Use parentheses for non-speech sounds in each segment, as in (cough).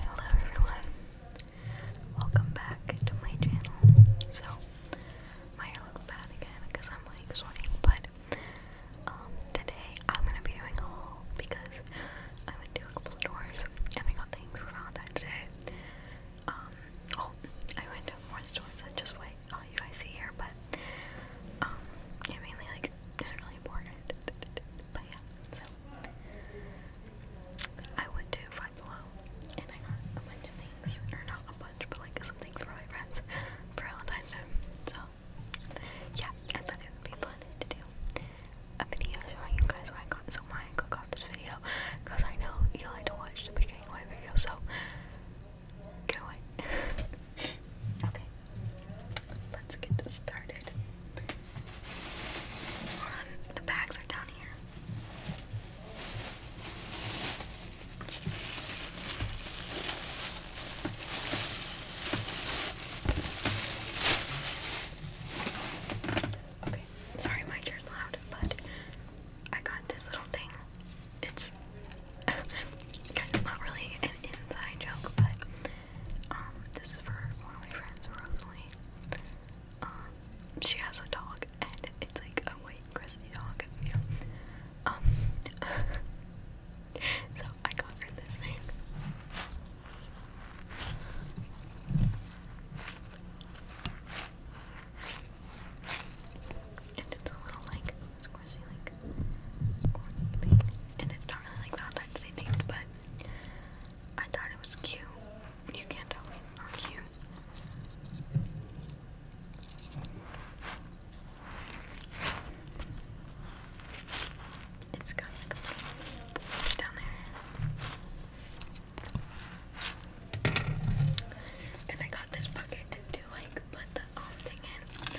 Hello everyone, welcome back to my channel. So, my hair looked bad again because I'm like sweating, but um, today I'm gonna be doing a haul because I went to a couple stores and I got things for Valentine's Day. Um, oh, I went to more stores than just what all you guys see here, but um, I mainly like is really important. But yeah, so I went to Five Below and I got a bunch of things, or not a bunch, but like some things for my friends for Valentine's Day. So yeah, I thought would be fun to do a video showing you guys what I got. So why I cook off this video because I know you like to watch the beginning of my video. So Get (laughs) okay. Let's get this started. the bags are down here. Okay, sorry my chair's loud, but I got this little thing. It's Kind not really an inside joke, but um, this is for one of my friends, Rosalie. Um, she has a dog, and it's like a white crusty dog, you know. Um, (laughs) so I got her this thing. And it's a little like squishy, like corn And it's not really like Valentine's themed, but I thought it was cute. You can't tell it's not cute. It's got like a down there. And I got this bucket to like put the um thing in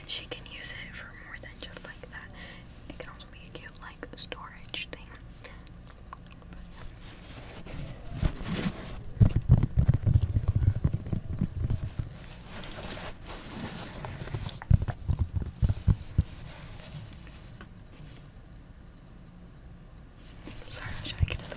and she can use it for more than just like that. It can also be a cute like storage thing. Sorry, I'm trying to get it up.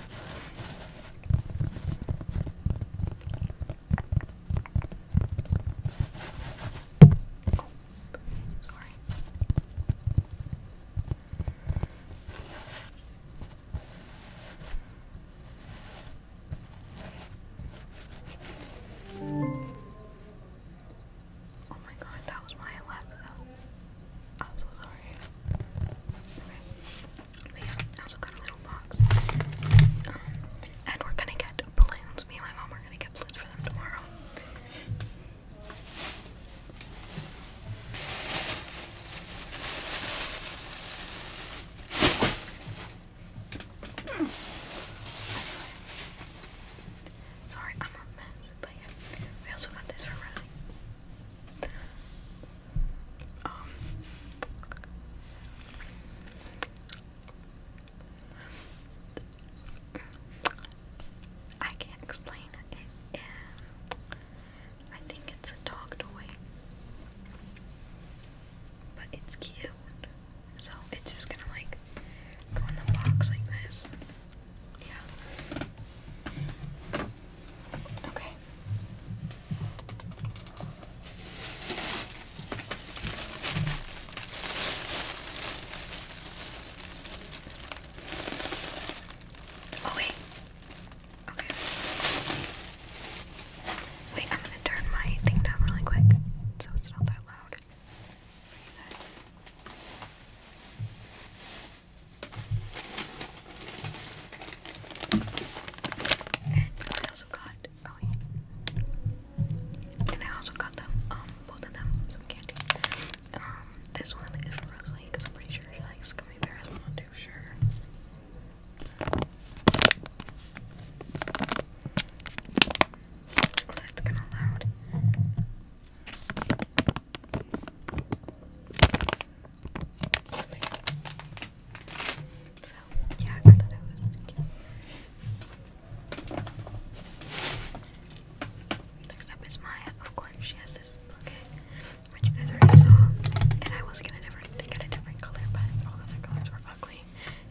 Oh, my god, that was my 11th. I'm so sorry. Okay. also got a little box. Um, and we're gonna get balloons. Me and my mom are gonna get balloons for them tomorrow. Sorry, I'm a mess, but yeah. We also got this for Rosie. Um, I can't explain it. I think it's a dog toy, but it's cute. So it's just gonna like go in the box like this. Yeah. Okay. wait. Okay. Wait, I'm gonna turn my thing down really quick so it's not that loud. For and I also got oh yeah. And I also got them, um, both of them, some candy. Um, this one is for Rosalie because I'm pretty sure she likes gummy bears. I'm not too sure. that's kind of loud. So, Next up is Maya. Of course, she has this which you guys already saw. And I was gonna get a different color, but all the other colors were ugly.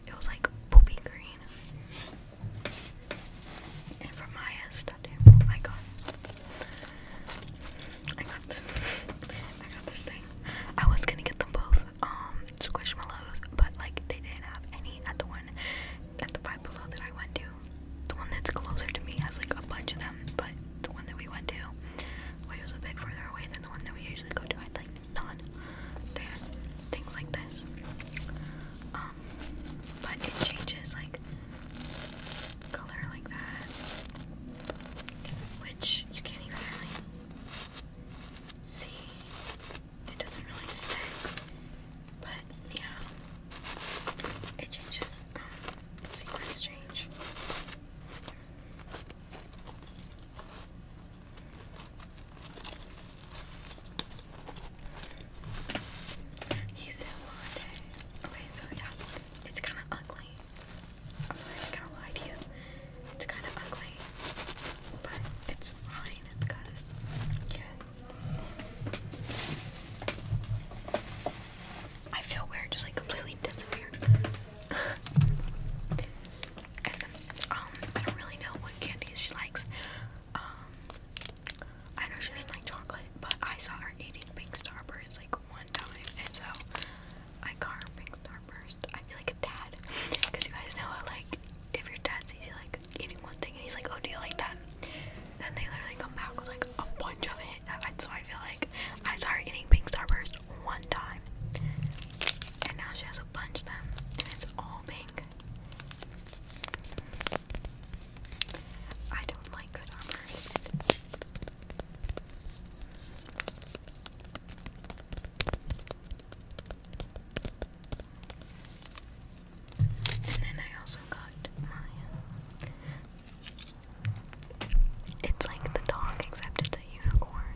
It was like poopy green. And for Maya's tattoo, I got I got this. I got this thing. I was gonna get them both, um, squishmallows, but like they didn't have any at the one at the five below that I went to. The one that's closer to me has like a bunch of them, but the one that we went to well, was a bit further away than the one that we usually go to. I had like none. things like this. Um but it changes like color like that, which you can't even really see. It doesn't really stick, but yeah, it changes. Um, sequence change. He's in Monday. Okay, so yeah, it's kind of ugly. I'm not gonna lie to you. It's kind of ugly, but it's fine because yeah. I feel weird, just like completely disappeared. (laughs) um, I don't really know what candies she likes. Um, I know she doesn't like chocolate, but I saw her eating pink starbursts like one time, and so I got pink starbursts. I feel like a dad, because you guys know how like if your dad sees you like eating one thing and he's like, "Oh, do you like that?" Then they literally come back with like a bunch of it. So I feel like I saw her eating pink starburst one time, and now she has a bunch of them, and it's all pink. I don't like starburst. And then I also got It's like the dog, except it's a unicorn.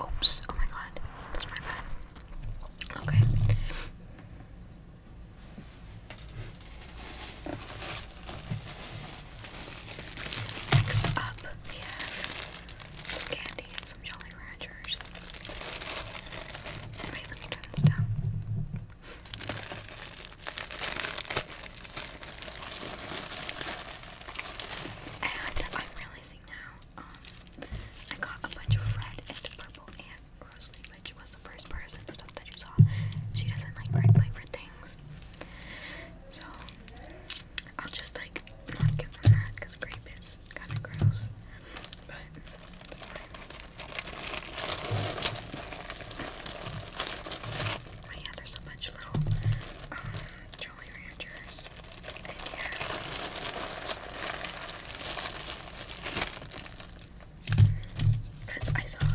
Oops, oh my god, that's my bad. Okay. Next up, we have some candy some Jolly Ranchers. let me turn this down. And I'm realizing now, um, I got a bunch of red and purple and Rosalie, which was the first person stuff that you saw. She doesn't like red flavored things. So, I'll just like not give them that grape is kind of gross. But, Oh yeah, there's a bunch of little um, Jolly Ranchers in here. Cause I saw,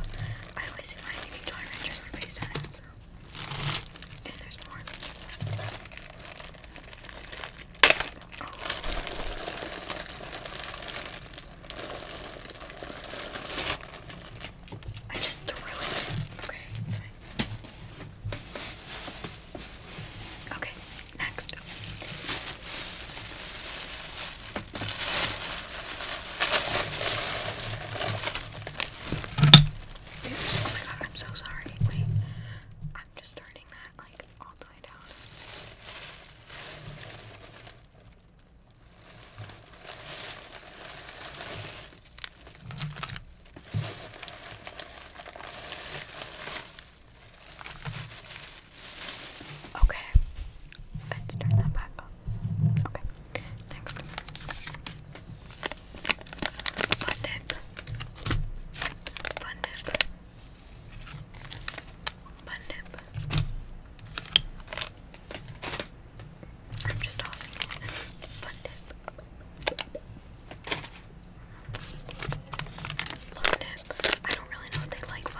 I always see my Jolly Ranchers on FaceTime, so. And there's more. I just threw it. Okay, it's fine. Okay, next. Oh my god, I'm so sorry. Wait, I'm just starting that like all the way down. Okay, let's turn that back on. Okay, next. Fun dip. Fun dip. Fun dip. I'm just tossing it. Fun I don't really know if they like but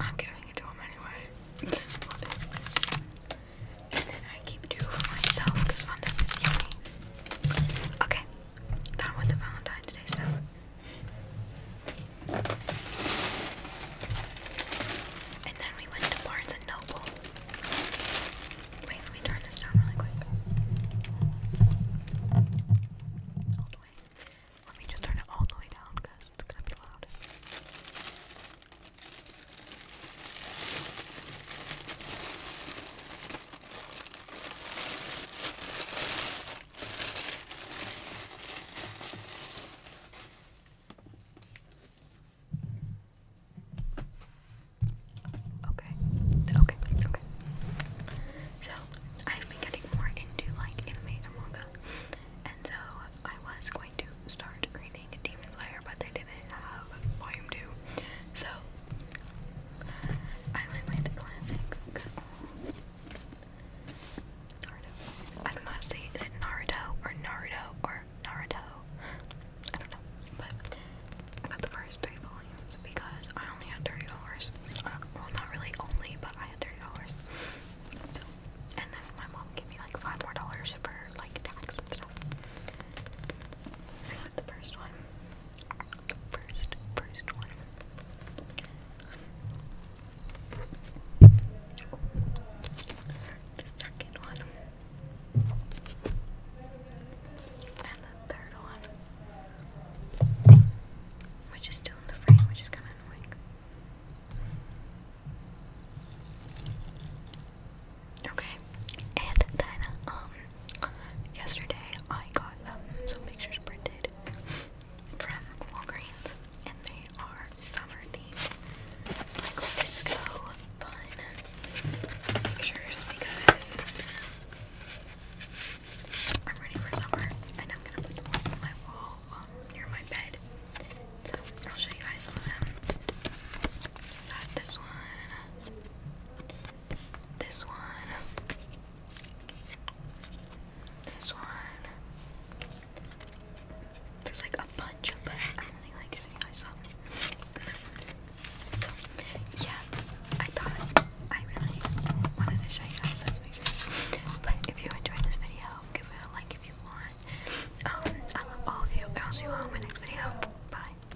I'm giving it to them anyway. And then I keep two for myself because fun is yummy. Okay, done with the Valentine's Day stuff. And then we went to Barnes and Noble. Wait, let me turn this down really quick. All the way. Let me just turn it all the way down because it's gonna be loud. Okay, okay, okay. So, I've been getting more into like anime and manga, and so I was going to start reading Demon Slayer, but they didn't have volume 2. So, I went with the classic I don't know how to say it. Is it Naruto or Naruto or Naruto? I don't know. But I got the first three volumes because I only had $30. Uh, well, not really only, but I had $30. So, and then my mom gave me like five more dollars for like tax and stuff the first one. First, first one. The second one. And the third one. Which is still in the frame, which is kind of annoying. Okay. And then, um, yesterday I got some pictures printed from Walgreens, and they are summer themed, like disco fun pictures because I'm ready for summer, and I'm gonna put them on my wall um, near my bed. So I'll show you guys some of them. Got this one this one, this one. There's like a bunch of, but I do like any I saw. So yeah, I thought I really wanted to show you guys those pictures. But if you enjoyed this video, give it a like if you want. Um, I love all of you. I'll see you all in my next video. Bye.